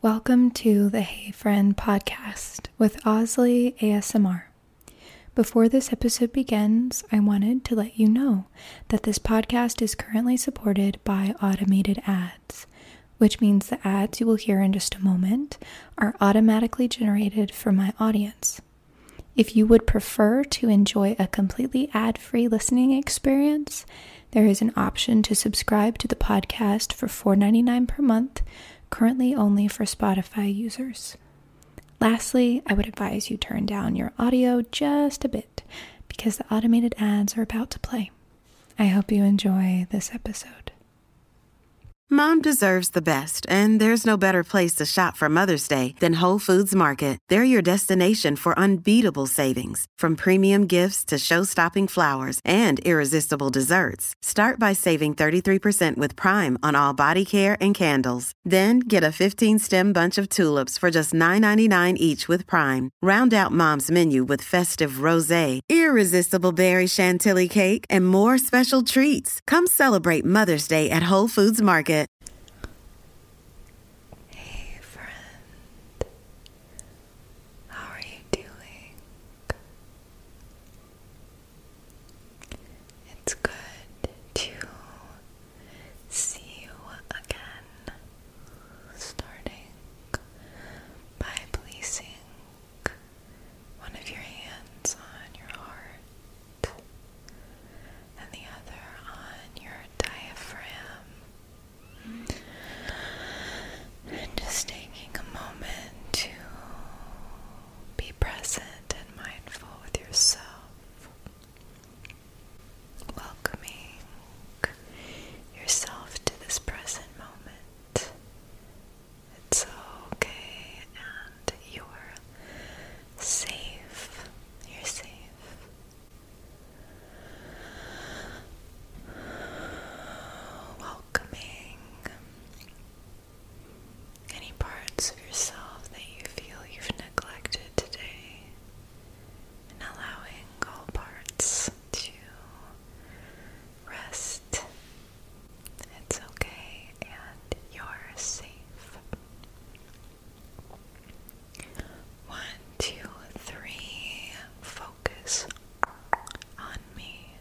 Welcome to the Hey Friend podcast with Osley ASMR. Before this episode begins, I wanted to let you know that this podcast is currently supported by automated ads, which means the ads you will hear in just a moment are automatically generated for my audience. If you would prefer to enjoy a completely ad free listening experience, there is an option to subscribe to the podcast for $4.99 per month, currently only for Spotify users. Lastly, I would advise you turn down your audio just a bit because the automated ads are about to play. I hope you enjoy this episode. Mom deserves the best, and there's no better place to shop for Mother's Day than Whole Foods Market. They're your destination for unbeatable savings, from premium gifts to show-stopping flowers and irresistible desserts, start by saving 33% with Prime on all body care and candles. Then get a 15-stem bunch of tulips for just $9.99 each with Prime. Round out Mom's menu with festive rosé, irresistible berry chantilly cake, and more special treats. Come celebrate Mother's Day at Whole Foods Market. Hey, friend. How are you doing? It's good to see you again, starting by placing one of your hands on your heart and the other on your diaphragm. And just taking a moment to be present and mindful with yourself. Welcoming yourself to this present moment. It's okay, and you're safe. You're safe welcoming any parts of yourself that you feel you've neglected today, and allowing all parts to rest. It's okay, and you're safe. One, two, three. Focus on me.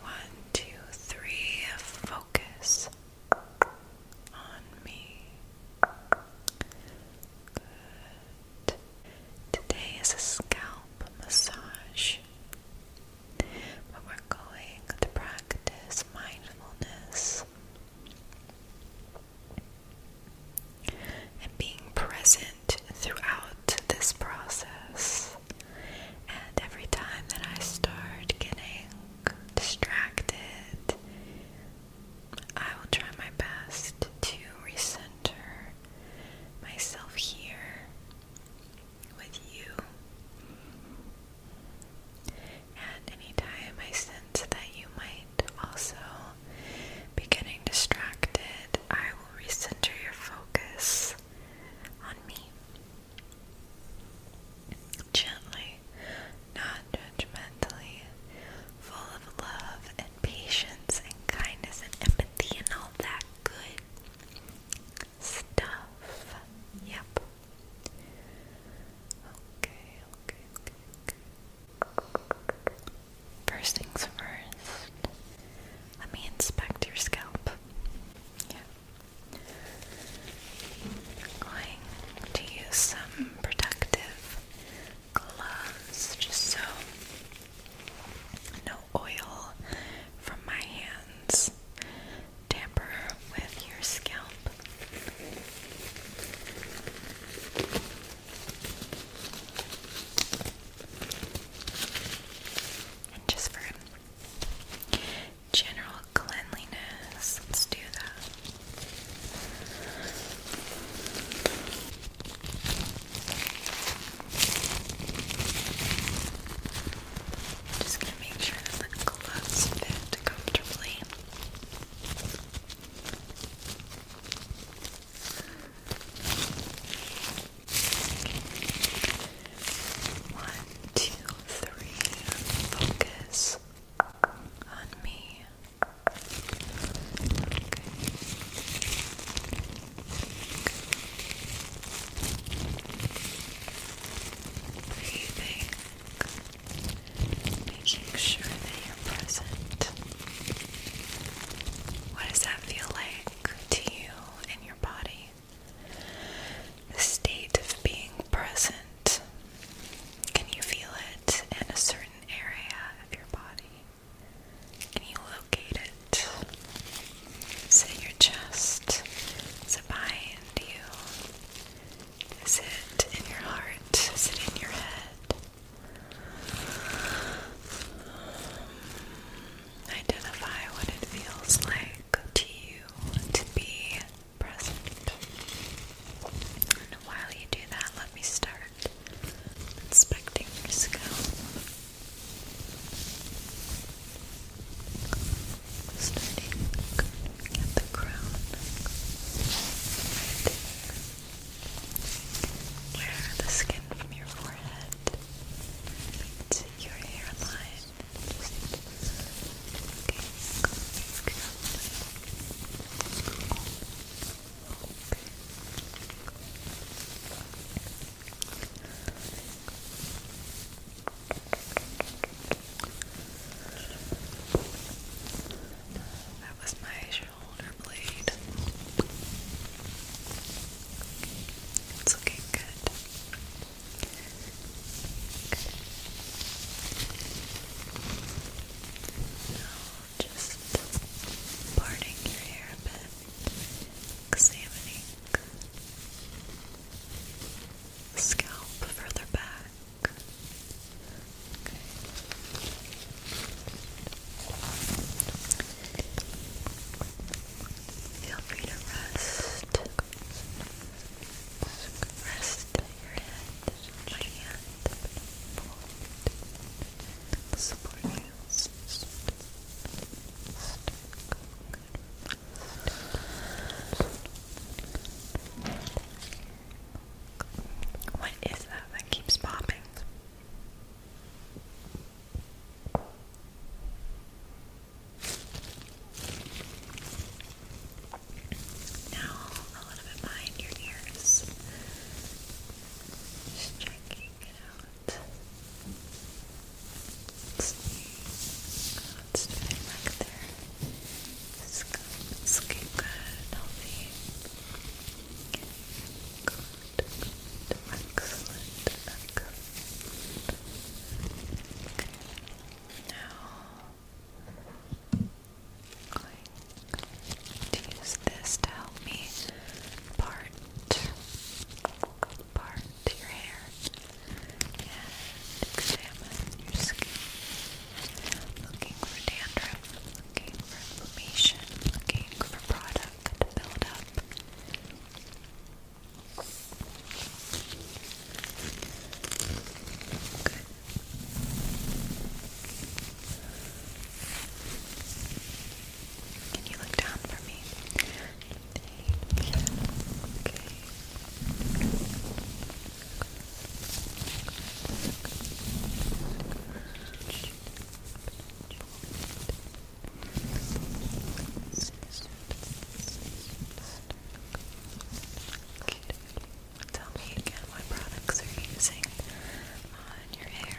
One, two, three. Focus on me. Today is a scalp massage, but we're going to practice mindfulness and being present throughout this process. And every time that I start getting distracted, I will try my best to recenter myself here with you. And any anytime I sense that you might also be getting distracted, I will recenter your focus on me. Gently, not judgmentally, full of love and patience and kindness and empathy and all that good stuff. Yep. Okay, okay, okay, okay. First things first, let me inspect your scalp. going to use some protective gloves just so no oil from my hands tamper with your scalp just for general cleanliness, let's do that. Just gonna make sure that the gloves fit comfortably. One, two, three, focus on me. Breathing making sure that you're present. What does that feel like to you and your body? The state of being present. Can you feel it in a certain area of your body? Can you locate it? Is it your chest? Is it behind you? Is it in your heart? Is it in your head? Identify what it feels like to you to be present. And while you do that, let me start inspecting your scalp. Starting at the crown where the skin from your forehead meets your hairline. That was my shoulder blade. It's looking good. just parting your hair a bit, examining scalp further back. Okay. Feel free to rest. Rest your head, my hand, support you. What is that that keeps popping? Now, a little bit behind your ears. Just checking it out. Let's see. back there. It's good. good. Healthy. Good, good, excellent, Now, i use this to help me part, part your hair and examine your skin. Looking for dandruff, looking for inflammation, looking for product to build up. Can you look down for me? Okay. Tell me again what products are you using on your hair?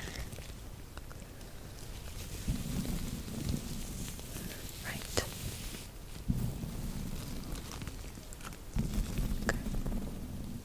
Right. Okay.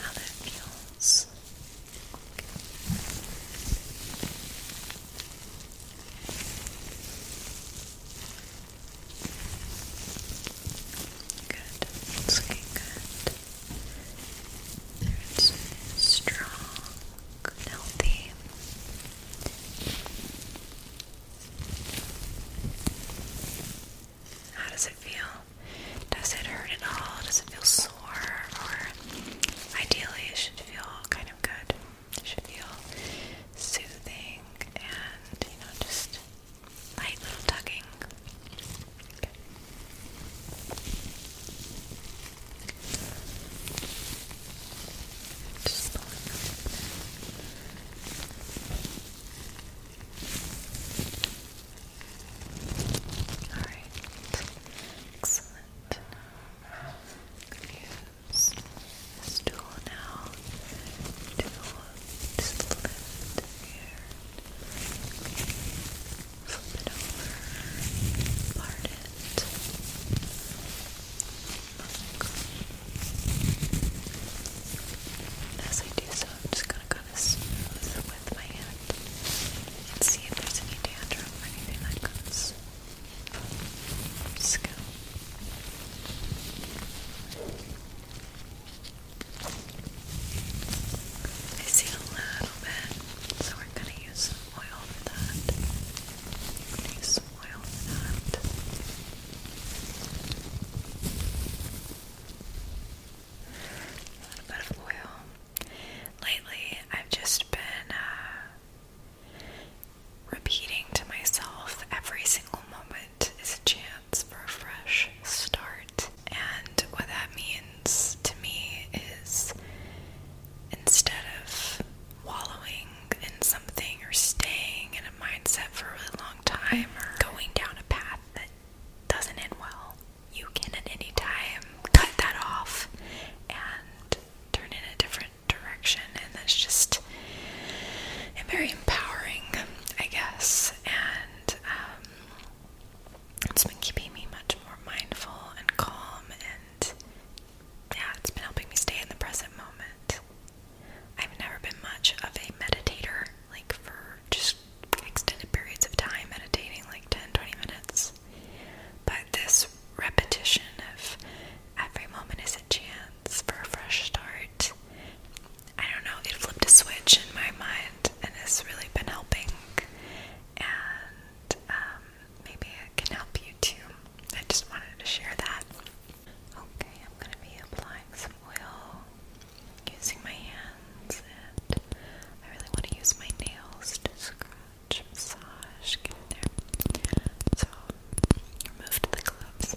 how that feels. Good, looking good. it's strong, healthy. How does it feel? Does it hurt at all? Does it feel sore? Or ideally, it should feel kind of good. It should feel soothing and, you know, just light little tugging. Just Alright. Excellent. use this tool now to just lift here. Flip it over. Part it. Look. As I do so, I'm just going to gonna smooth with my hand and see if there's any dandruff or anything that comes from the scalp. I see a little bit, so we're gonna use some oil for that. I'm gonna use oil for that. Lately, I've just been uh, repeating to myself every single moment is a chance for a fresh start. And what that means to me is instead of wallowing in something or staying in a mindset for a really long time or going down a path that doesn't end well, you can at any time cut that off and turn in a different direction. And that's just very empowering, I guess. And um, it's been keeping me much more mindful and calm. And yeah, it's been helping me stay in the present moment. I've never been much of a meditator like for just extended periods of time meditating like 10 minutes but this repetition of every moment is a chance for a fresh start i don't know it flipped a switch in my mind and it's really been helping and um, maybe it can help you too i just wanted to share that okay i'm going to be applying some oil using my hands, and I really want to use my nails to scratch, massage, get in there. So, removed the gloves.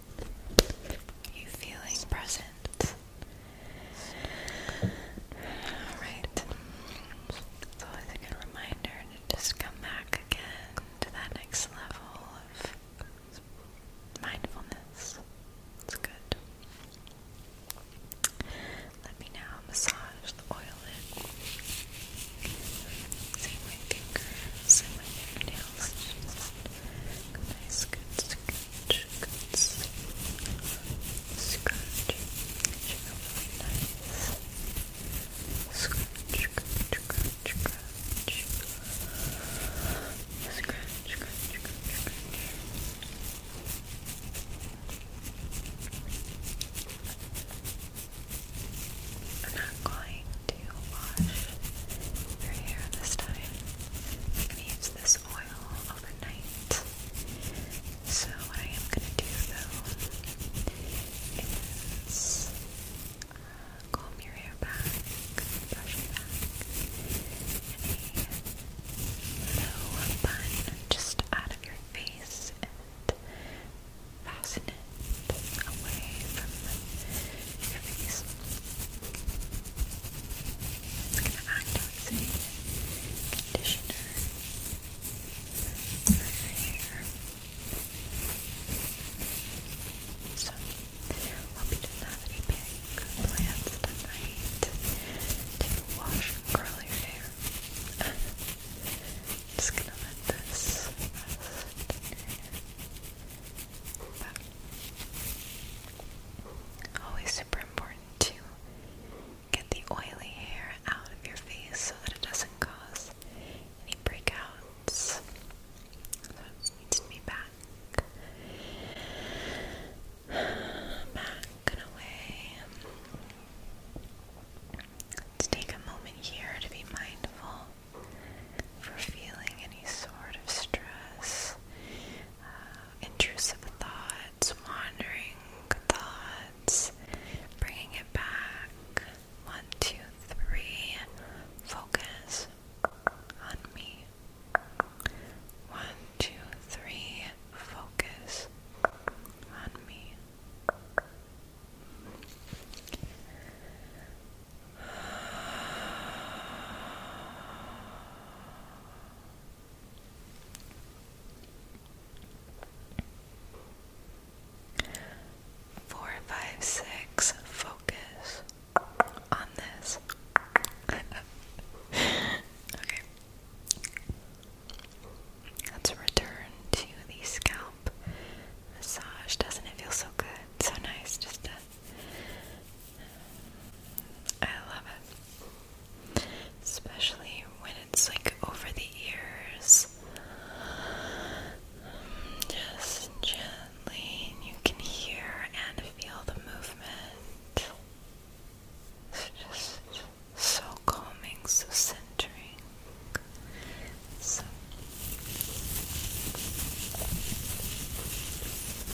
you feeling present? Alright. It's always a good reminder to just come back again to that next level of mindfulness. It's good. Let me now massage the oil in. See fingers and my Good, nice, good scratch, good scratch. Really nice. Scratch, scratch, scratch, scratch. Scratch, scratch, scratch, scratch. I'm not going to wash your hair this time. I'm going to use this oil overnight. So what I am gonna do though is uh, comb your hair back, brush it back in a bun just out of your face and fasten it away from your face. It's gonna act as conditioner for your hair. So, hope you didn't have any big plans tonight to wash and curl your hair. just gonna let this always super important to get the oily hair out of your face so that it doesn't cause any breakouts. That needs to be back. Back and away. Let's take a moment here to be mindful for feeling any sort of stress intrusive thoughts, wandering thoughts, bringing it back. One, two, three. Focus on me. One, two, three. Focus on me. Four, five, six, focus on this. okay. Let's return to the scalp massage. Doesn't it feel so good? So nice just to I love it. Especially when it's like over the ears. Just gently, you can hear and feel the movement. It's just so calming, so centering. So.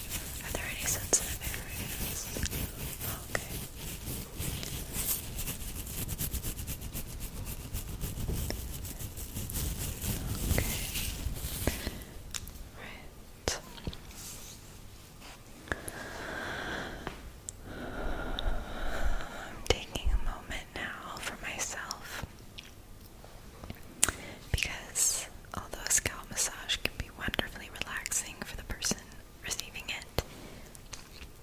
Are there any sensitive areas? Okay. Okay. Right. I'm taking a moment now for myself. Because although scalp massage can be wonderfully relaxing for the person receiving it,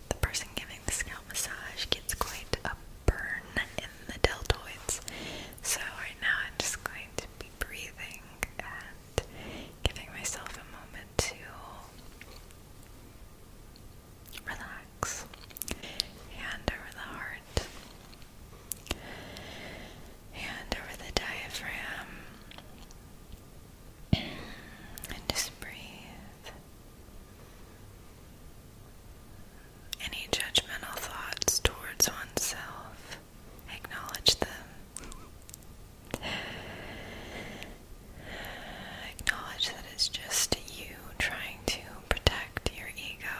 the person giving the scalp massage gets quite a burn in the deltoids. So, right now, I'm just going to be breathing and giving myself a moment to relax. Hand over the heart. Hand over the diaphragm and just breathe. Any judgmental thoughts towards oneself, acknowledge them. Acknowledge that it's just you trying to protect your ego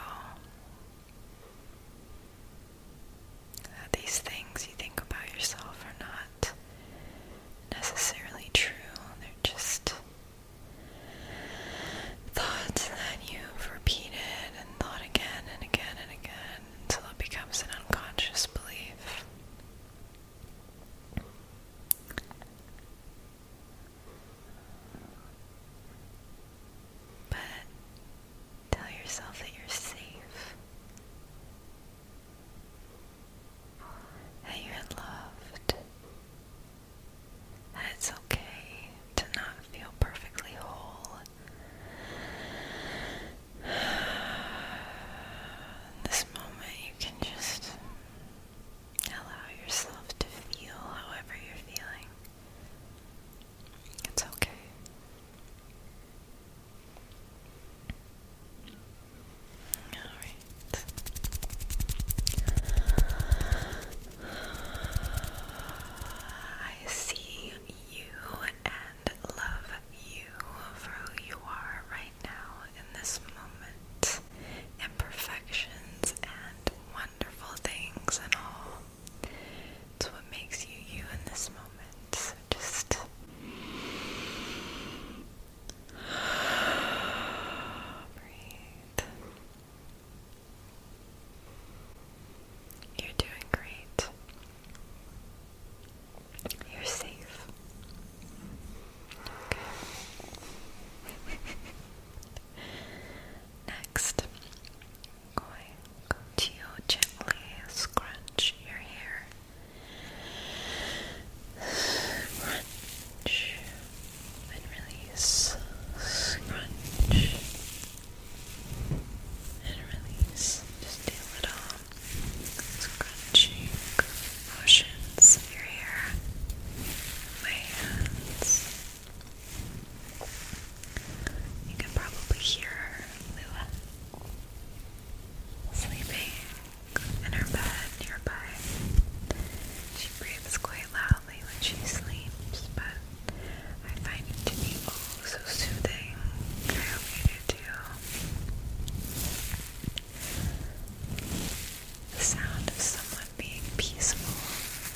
that these things you think about yourself are not necessarily true, they're just thoughts that you've repeated and thought again and again and again until it becomes an unconscious belief. But Tell yourself that you're safe, that you're loved, that it's okay to not feel perfectly whole. In this moment, you can just allow yourself to feel however you're feeling. It's okay. Alright. I see you and love you for who you are right now in this moment. Imperfections and wonderful things and all. It's what makes you you in this moment. So just breathe. You're doing great. You're safe. Okay. Next, going to gently scrunch your hair. Scrunch and release. Scrunch and release. Just do little scrunching motions of your hair. hands. You can probably hear her, Lua, sleeping in her bed nearby. She breathes quite loudly when she sleeps, but I find it to be so soothing. I hope you do too. The sound of someone being peaceful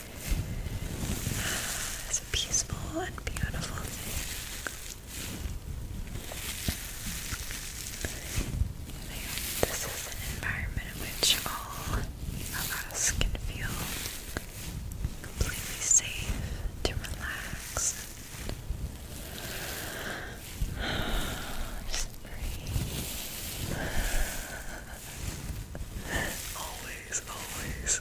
it's a peaceful and beautiful thing. this is an environment in which all of us can feel completely safe to relax. Just breathe. Always, always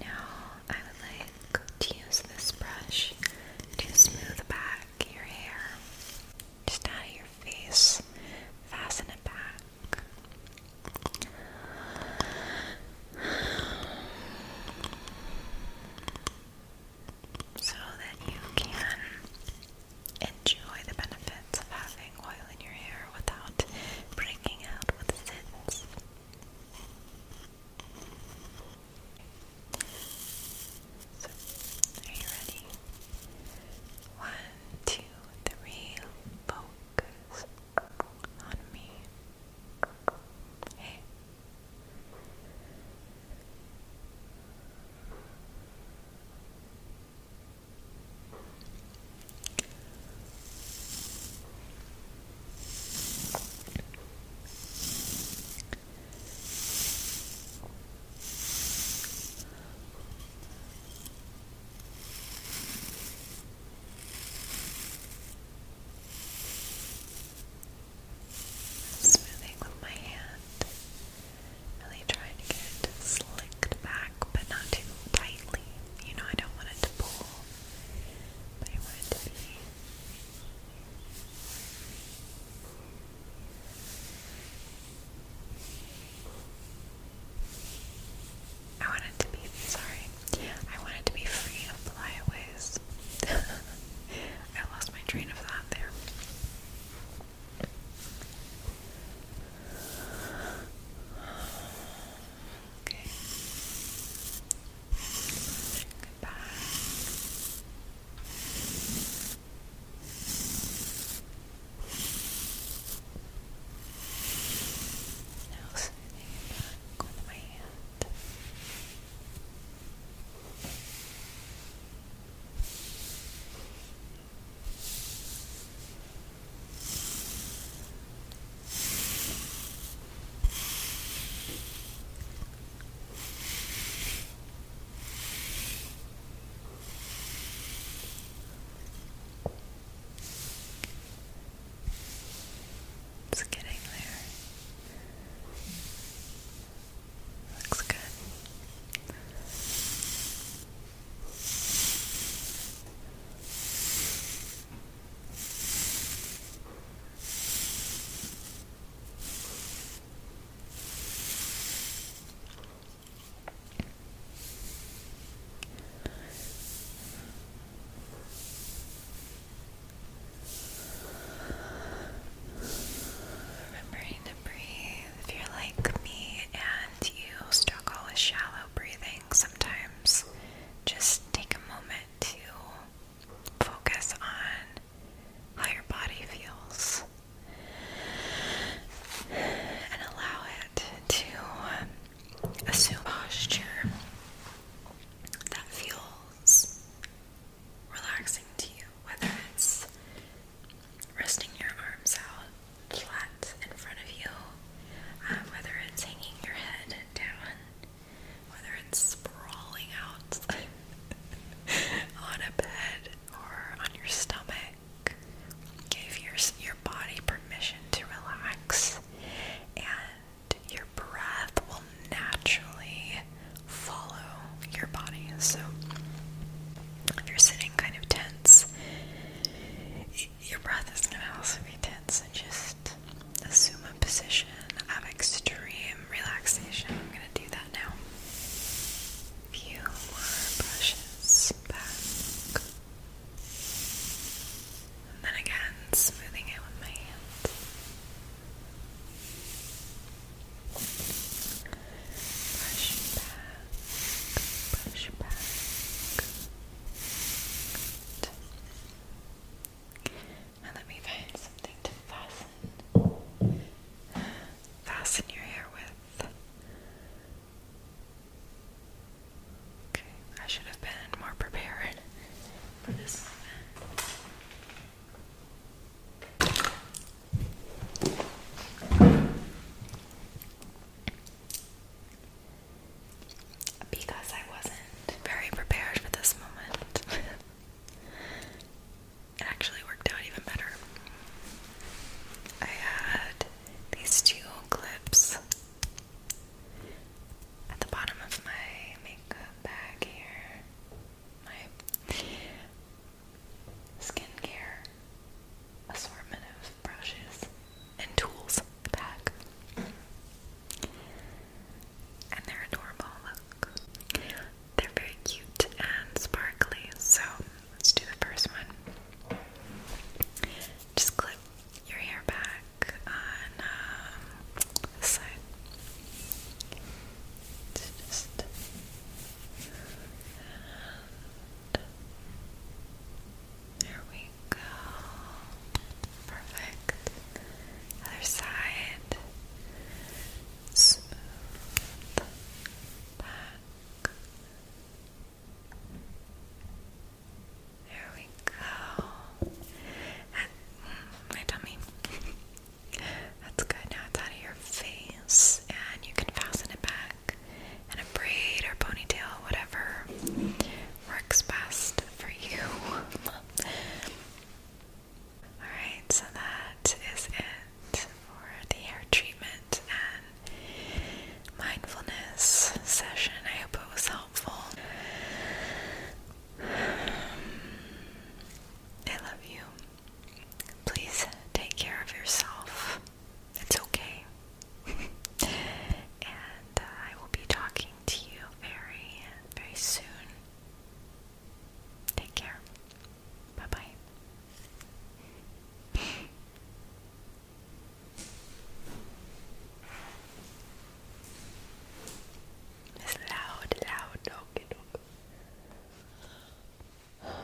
Now I would like to use this brush to smooth back your hair. Just out of your face. Fasten it back. So that you can enjoy the benefits of having oil in your hair without breaking out with zits. So, you One, two, three, focus on me. Hey. Smoothing with my hand. Really trying to get it back, but not too tightly. You know, I don't want it to pull. I want to be I want to be, sorry, I want to be free of flyaways. I lost my train of thought there. Okay. Goodbye. Now smoothing it my hand. It's getting there. Looks good. Remembering to breathe if you're like me and you struggle with shallow breathing sometimes just take a moment to focus on how your body feels and allow it to assume posture that feels relaxing to you, whether it's resting your arms out flat in front of you, um, whether it's hanging your head down, whether it's sprawling out on a bed or on your stomach. Give your, your body permission to relax, and your breath will naturally follow your body. So, if you're sitting kind of tense, your breath is going to also be tense, and just assume a position of extreme relaxation. I'm going to do that now. few more brushes back. And then again, smoothing it with my hands. brush back, brush back now let me find something to fasten fasten your hair with. Okay, I should have been more prepared for this moment because I wasn't very prepared for this moment. it actually worked out even better. I had these two clips at the bottom of my makeup bag here, my skincare assortment of brushes, and tools pack. And they're adorable, look. They're very cute and sparkly. So let's do the first one. Just clip your hair back on um, this side. It's just. Um, there we go. Perfect. Other side. Smooth. Back. There we go. That, mm, my tummy. That's good. Now it's out of your face, and you can fasten it back and a braid or ponytail, whatever works best for you. Alright, so that is it for the hair treatment and mindfulness session. I hope it was helpful. I love you. Please take care of yourself it's okay. and uh, I will be talking to you very, very soon. Take care. Bye bye. It's loud, loud, okay, okay.